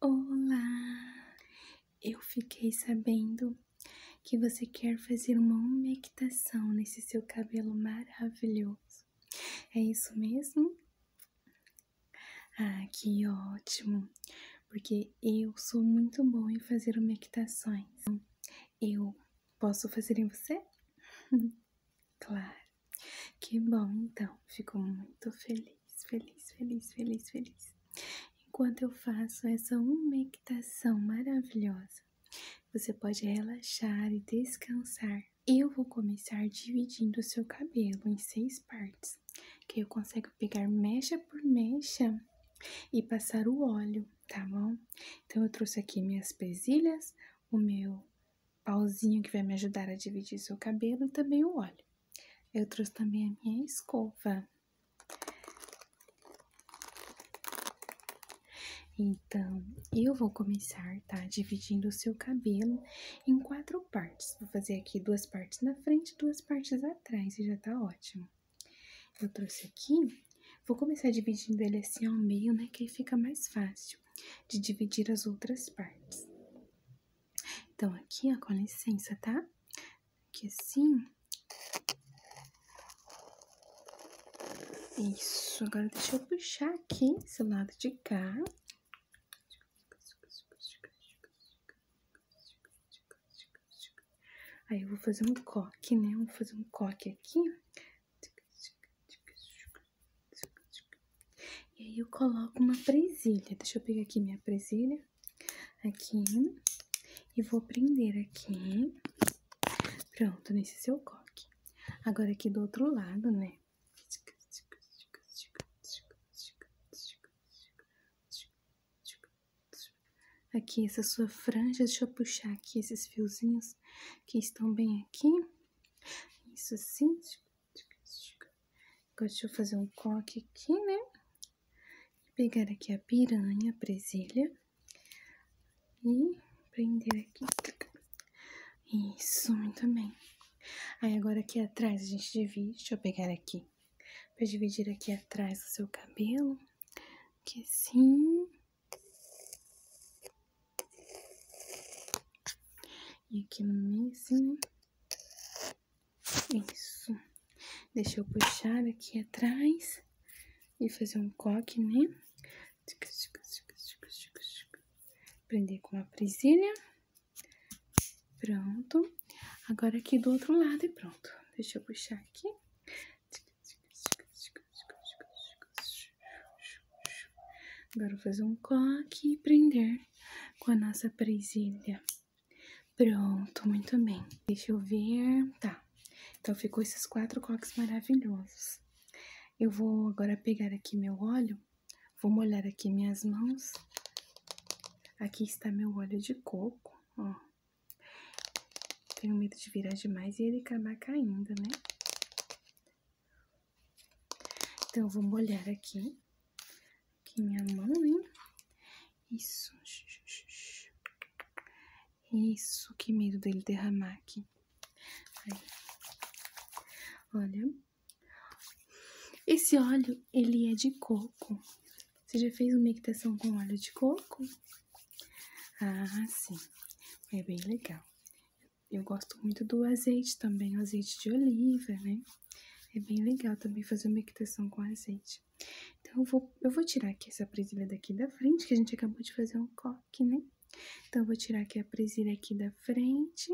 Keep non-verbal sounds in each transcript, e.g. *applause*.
Olá! Eu fiquei sabendo que você quer fazer uma umectação nesse seu cabelo maravilhoso. É isso mesmo? Ah, que ótimo! Porque eu sou muito bom em fazer umectações. Eu posso fazer em você? *laughs* claro! Que bom, então. Fico muito feliz, feliz, feliz, feliz, feliz. Enquanto eu faço essa umectação maravilhosa, você pode relaxar e descansar. Eu vou começar dividindo seu cabelo em seis partes, que eu consigo pegar mecha por mecha e passar o óleo, tá bom? Então eu trouxe aqui minhas presilhas, o meu pauzinho que vai me ajudar a dividir seu cabelo e também o óleo. Eu trouxe também a minha escova. Então, eu vou começar, tá? Dividindo o seu cabelo em quatro partes. Vou fazer aqui duas partes na frente, duas partes atrás e já tá ótimo. Eu trouxe aqui, vou começar dividindo ele assim ao meio, né? Que aí fica mais fácil de dividir as outras partes. Então, aqui, ó, com licença, tá? Aqui assim. Isso, agora deixa eu puxar aqui esse lado de cá. Aí eu vou fazer um coque, né? Vou fazer um coque aqui, e aí eu coloco uma presilha. Deixa eu pegar aqui minha presilha. Aqui. E vou prender aqui. Pronto, nesse seu coque. Agora aqui do outro lado, né? Aqui, essa sua franja, deixa eu puxar aqui esses fiozinhos que estão bem aqui. Isso sim Agora deixa eu fazer um coque aqui, né? Pegar aqui a piranha, a presilha. E prender aqui. Isso, muito bem. Aí agora aqui atrás a gente divide. Deixa eu pegar aqui. Pra dividir aqui atrás o seu cabelo. Aqui assim. E aqui no meio, meizinho. Isso. Deixa eu puxar aqui atrás e fazer um coque, né? Prender com a presilha. Pronto. Agora aqui do outro lado e pronto. Deixa eu puxar aqui. Agora vou fazer um coque e prender com a nossa presilha. Pronto, muito bem. Deixa eu ver. Tá. Então ficou esses quatro coques maravilhosos. Eu vou agora pegar aqui meu óleo, vou molhar aqui minhas mãos. Aqui está meu óleo de coco, ó. Tenho medo de virar demais e ele acabar caindo, né? Então, eu vou molhar aqui. Aqui minha mão, hein? Isso. Isso, que medo dele derramar aqui. Aí. Olha. Esse óleo, ele é de coco. Você já fez uma equitação com óleo de coco? Ah, sim. É bem legal. Eu gosto muito do azeite também, o azeite de oliva, né? É bem legal também fazer uma equitação com azeite. Então, eu vou, eu vou tirar aqui essa presilha daqui da frente, que a gente acabou de fazer um coque, né? Então, eu vou tirar aqui a presilha aqui da frente.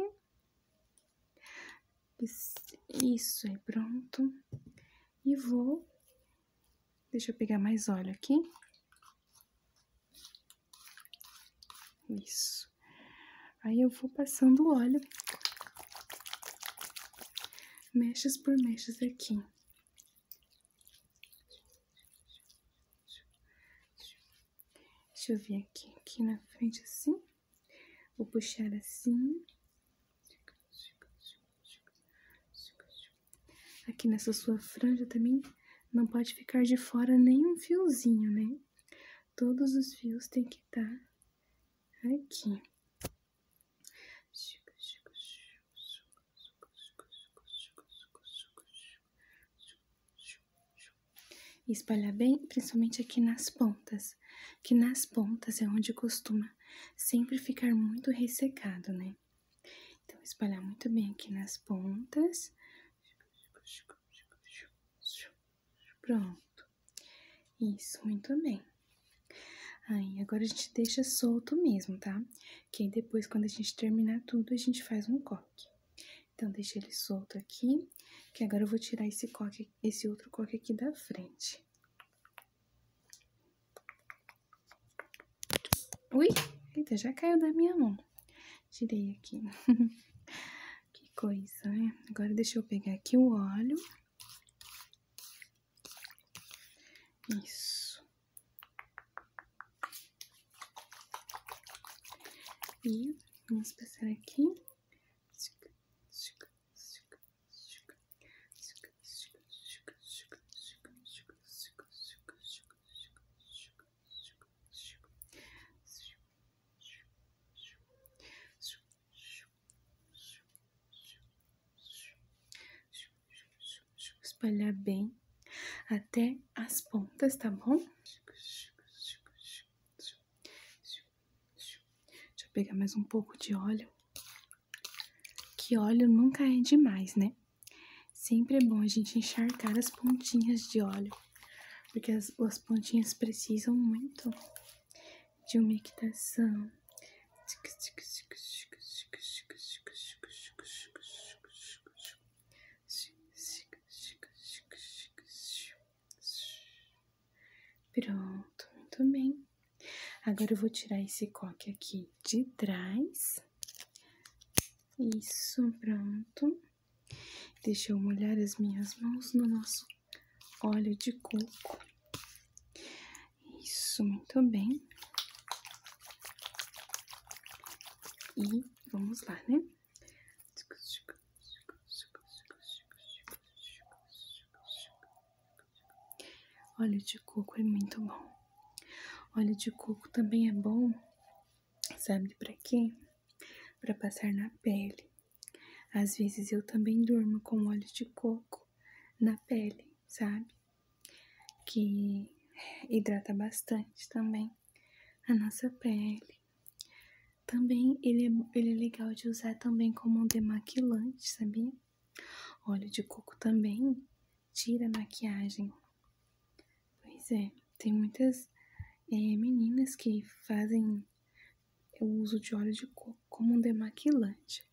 Isso aí, pronto. E vou Deixa eu pegar mais óleo aqui. Isso. Aí eu vou passando o óleo. Mechas por mechas aqui. Deixa eu vir aqui, aqui na frente assim. Vou puxar assim. Aqui nessa sua franja também não pode ficar de fora nenhum fiozinho, né? Todos os fios tem que estar tá aqui. E espalhar bem, principalmente aqui nas pontas, que nas pontas é onde costuma sempre ficar muito ressecado, né? Então, espalhar muito bem aqui nas pontas. Pronto. Isso, muito bem. Aí, agora a gente deixa solto mesmo, tá? Que depois, quando a gente terminar tudo, a gente faz um coque. Então, deixa ele solto aqui, que agora eu vou tirar esse coque, esse outro coque aqui da frente. Ui, eita, já caiu da minha mão. Tirei aqui. *laughs* que coisa, né? Agora deixa eu pegar aqui o óleo. Isso. E vamos passar aqui. Espalhar bem até as pontas, tá bom? Deixa eu pegar mais um pouco de óleo que óleo nunca é demais, né? Sempre é bom a gente encharcar as pontinhas de óleo, porque as, pontinhas precisam muito de umectação. Pronto, muito bem. Agora eu vou tirar esse coque aqui de trás. Isso, pronto. Deixa eu molhar as minhas mãos no nosso óleo de coco. Isso, muito bem. E vamos lá, né? Óleo de coco é muito bom. Óleo de coco também é bom, sabe para quê? Para passar na pele. Às vezes eu também durmo com óleo de coco na pele, sabe? Que hidrata bastante também a nossa pele. Também ele é, ele é legal de usar também como um demaquilante, sabia? Óleo de coco também tira a maquiagem. Pois é, tem muitas é, meninas que fazem é, o uso de óleo de coco como um demaquilante.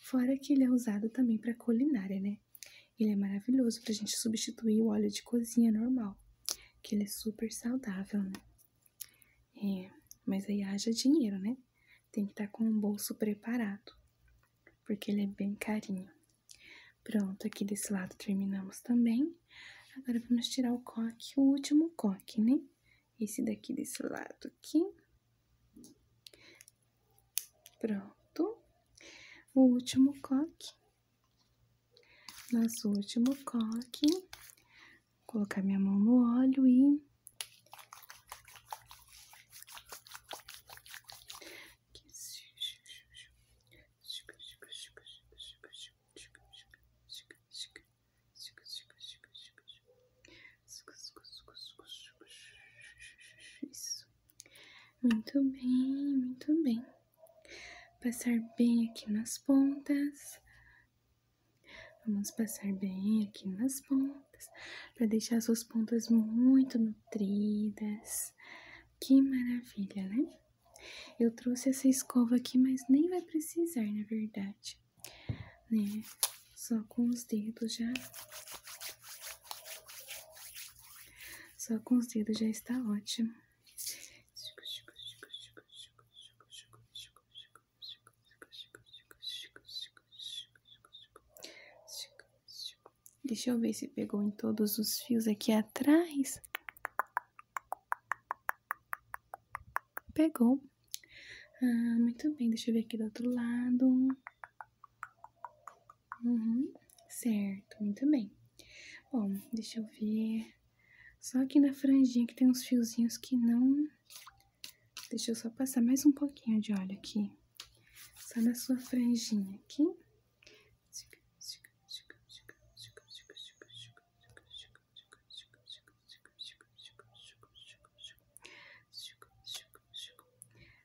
Fora que ele é usado também para culinária, né? Ele é maravilhoso para a gente substituir o óleo de cozinha normal, que ele é super saudável, né? É, mas aí haja dinheiro, né? tem que estar tá com o bolso preparado, porque ele é bem carinho. Pronto, aqui desse lado terminamos também. Agora vamos tirar o coque, o último coque, né? Esse daqui desse lado aqui. Pronto. O último coque. Nosso último coque colocar minha mão no óleo e isso muito bem, muito bem. Passar bem aqui nas pontas, Vamos passar bem aqui nas pontas, para deixar suas pontas muito nutridas. Que maravilha, né? Eu trouxe essa escova aqui, mas nem vai precisar, na verdade. Né? Só com os dedos já... Só com os dedos já está ótimo. Deixa eu ver se pegou em todos os fios aqui atrás. Pegou. Ah, muito bem, deixa eu ver aqui do outro lado. Uhum, certo, muito bem. Bom, deixa eu ver. Só aqui na franjinha que tem uns fiozinhos que não Deixa eu só passar mais um pouquinho de óleo aqui. Só na sua franjinha aqui.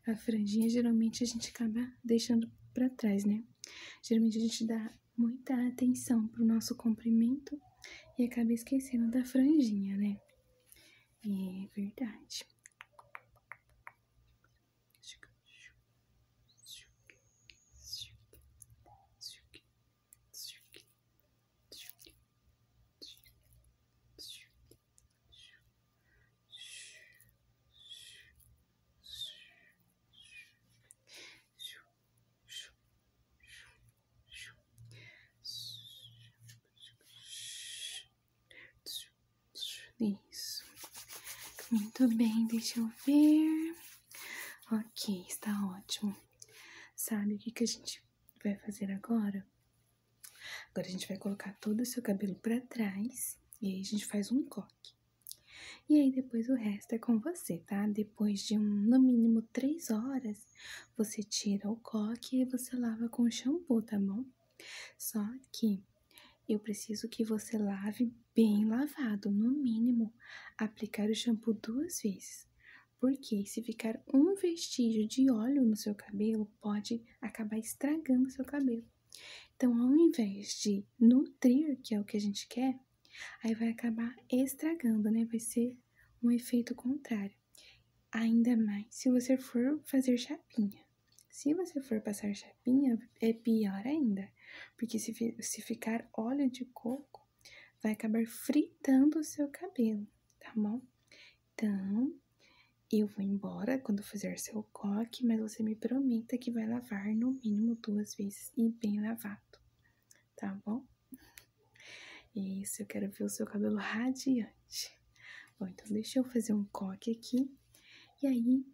A franjinha geralmente a gente acaba deixando para trás, né? Geralmente a gente dá muita atenção pro nosso comprimento e acabei esquecendo da franjinha, né? É verdade. Isso. Muito bem, deixa eu ver. Ok, está ótimo. Sabe o que, que a gente vai fazer agora? Agora a gente vai colocar todo o seu cabelo para trás e aí a gente faz um coque. E aí depois o resto é com você, tá? Depois de no mínimo três horas, você tira o coque e você lava com shampoo, tá bom? Só que eu preciso que você lave bem lavado, no mínimo, aplicar o shampoo duas vezes. Porque se ficar um vestígio de óleo no seu cabelo, pode acabar estragando seu cabelo. Então, ao invés de nutrir, que é o que a gente quer, Aí vai acabar estragando, né? Vai ser um efeito contrário. Ainda mais se você for fazer chapinha. Se você for passar chapinha, é pior ainda, porque se, se ficar óleo de coco, vai acabar fritando o seu cabelo, tá bom? Então, eu vou embora quando fizer seu coque, mas você me prometa que vai lavar no mínimo duas vezes e bem lavado tá bom? Isso, eu quero ver o seu cabelo radiante. Bom, então deixa eu fazer um coque aqui e aí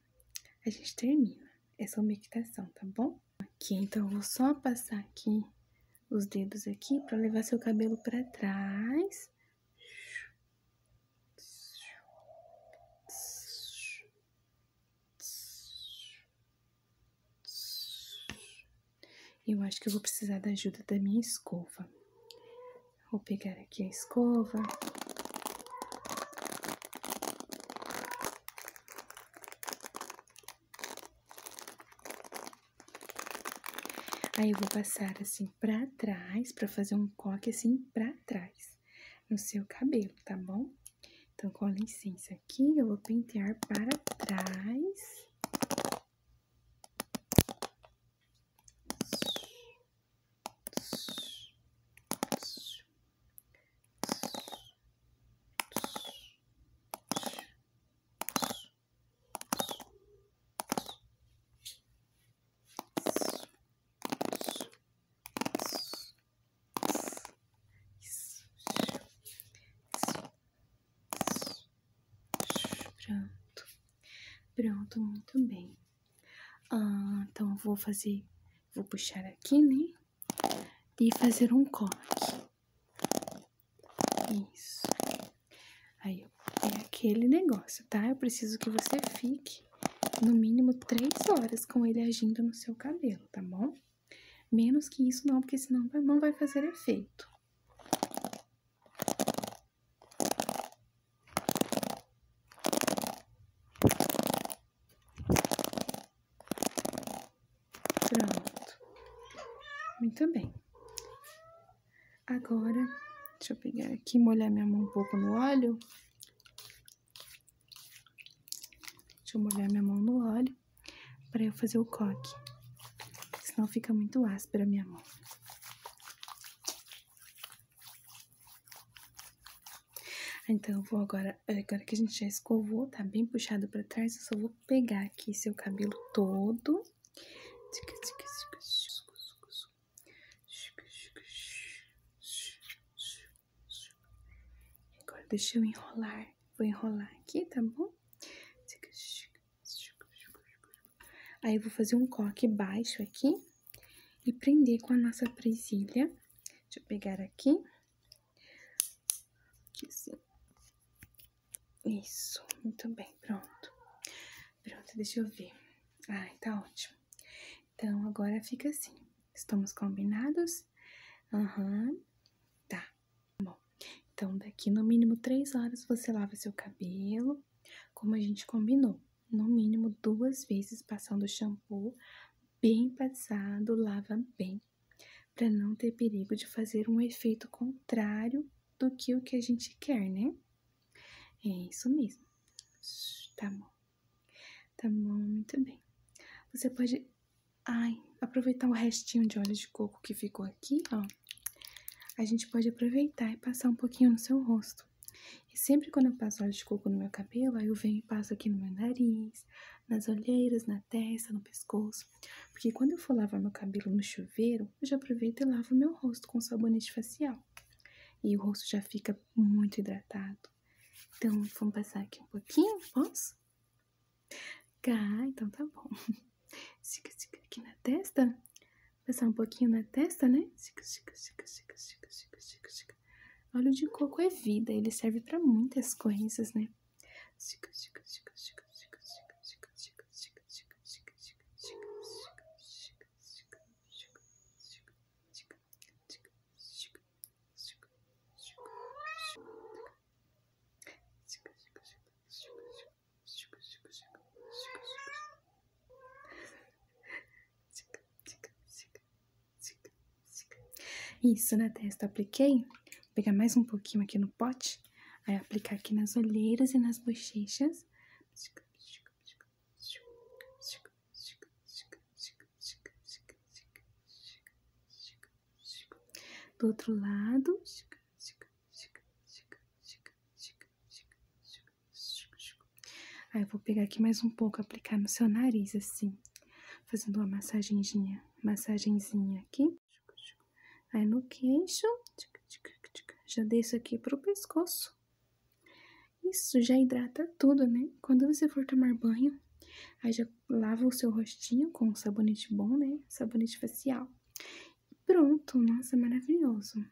a gente termina essa umectação, tá bom? Aqui, então eu vou só passar aqui os dedos aqui para levar seu cabelo para trás. Eu acho que eu vou precisar da ajuda da minha escova. Vou pegar aqui a escova. Aí eu vou passar assim para trás, para fazer um coque assim para trás no seu cabelo, tá bom? Então, com a licença aqui, eu vou pentear para trás. Isso. Isso. Pronto. Pronto, muito bem. Ah, então vou fazer, vou puxar aqui, né? E fazer um corte. Isso. Aí é aquele negócio, tá? Eu preciso que você fique no mínimo três horas com ele agindo no seu cabelo, tá bom? Menos que isso não, porque senão não vai fazer efeito. Pronto. Muito bem. Agora, deixa eu pegar aqui, molhar minha mão um pouco no óleo. Deixa eu molhar minha mão no óleo aqui para eu fazer o coque, senão fica muito áspera a minha mão. Então, eu vou agora, agora que a gente já escovou, tá bem puxado pra trás, eu só vou pegar aqui seu cabelo todo. Agora deixa eu enrolar. Vou enrolar aqui, tá bom? Aí eu vou fazer um coque baixo aqui e prender com a nossa presilha. Deixa eu pegar aqui. Aqui assim. Isso, muito bem, pronto. Pronto, deixa eu ver. Ai, tá ótimo. Então, agora fica assim. Estamos combinados? Aham. Tá, bom. Então, daqui no mínimo três horas você lava seu cabelo, como a gente combinou. No mínimo duas vezes passando o shampoo bem passado, lava bem, para não ter perigo de fazer um efeito contrário do que o que a gente quer, né? É isso mesmo. Tá bom. Tá bom, muito bem. Você pode Ai, aproveitar o restinho de óleo de coco que ficou aqui, ó. A gente pode aproveitar e passar um pouquinho no seu rosto. E sempre quando eu passo óleo de coco no meu cabelo, aí eu venho e passo aqui no meu nariz, nas olheiras, na testa, no pescoço. Porque quando eu for lavar meu cabelo no chuveiro, eu já aproveito e lavo meu rosto com sabonete facial. E o rosto já fica muito hidratado. Então, vamos passar aqui um pouquinho, posso? Cá, então tá bom. Chica, chica aqui na testa. Passar um pouquinho na testa, né? Chica, chica, chica, chica, chica, chica, chica, chica. Óleo de coco é vida, ele serve para muitas coisas, né? Chica, chica, chica, chica, chica, chica, chica, chica, chica, chica, chica, chica, chica, chica, chica, chica, chica, chica, isso, na né, testa apliquei. Vou pegar mais um pouquinho aqui no pote. Aí aplicar aqui nas olheiras e nas bochechas. Do outro lado. Aí vou pegar aqui mais um pouco, aplicar no seu nariz assim, fazendo uma massagenzinha, massagenzinha aqui. Aí no queixo, já desço aqui para o pescoço. Isso já hidrata tudo, né? Quando você for tomar banho, aí já lava o seu rostinho com um sabonete bom, né? Sabonete facial. pronto, nossa, maravilhoso.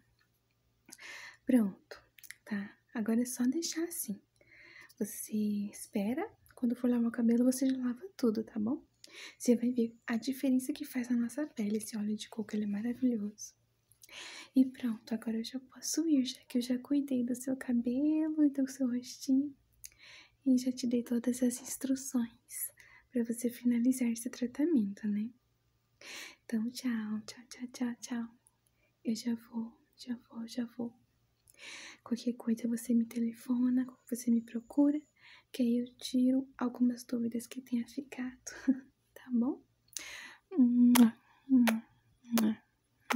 Pronto, tá? Agora é só deixar assim. Você espera, quando for lavar o cabelo, você lava tudo, tá bom? Você vai ver a diferença que faz na nossa pele esse óleo de coco, ele é maravilhoso. E pronto, agora eu já posso ir, já que eu já cuidei do seu cabelo e do seu rostinho e já te dei todas as instruções para você finalizar esse tratamento, né? Então, tchau, tchau, tchau, tchau, tchau. Eu já vou, já vou, já vou. Qualquer coisa você me telefona, você me procura, que aí eu tiro algumas dúvidas que tenha ficado, *laughs* tá bom?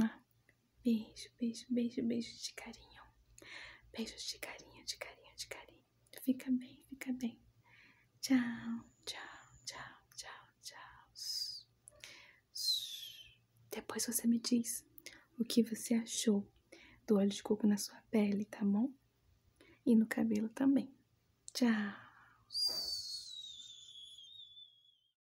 Ah, beijo, beijo, beijo, beijo de carinho. beijo de carinho, de carinho, de carinho. Fica bem, fica bem. Tchau, tchau, tchau, tchau, tchau. Depois você me diz o que você achou do óleo de coco na sua pele, tá bom? E no cabelo também. Tchau.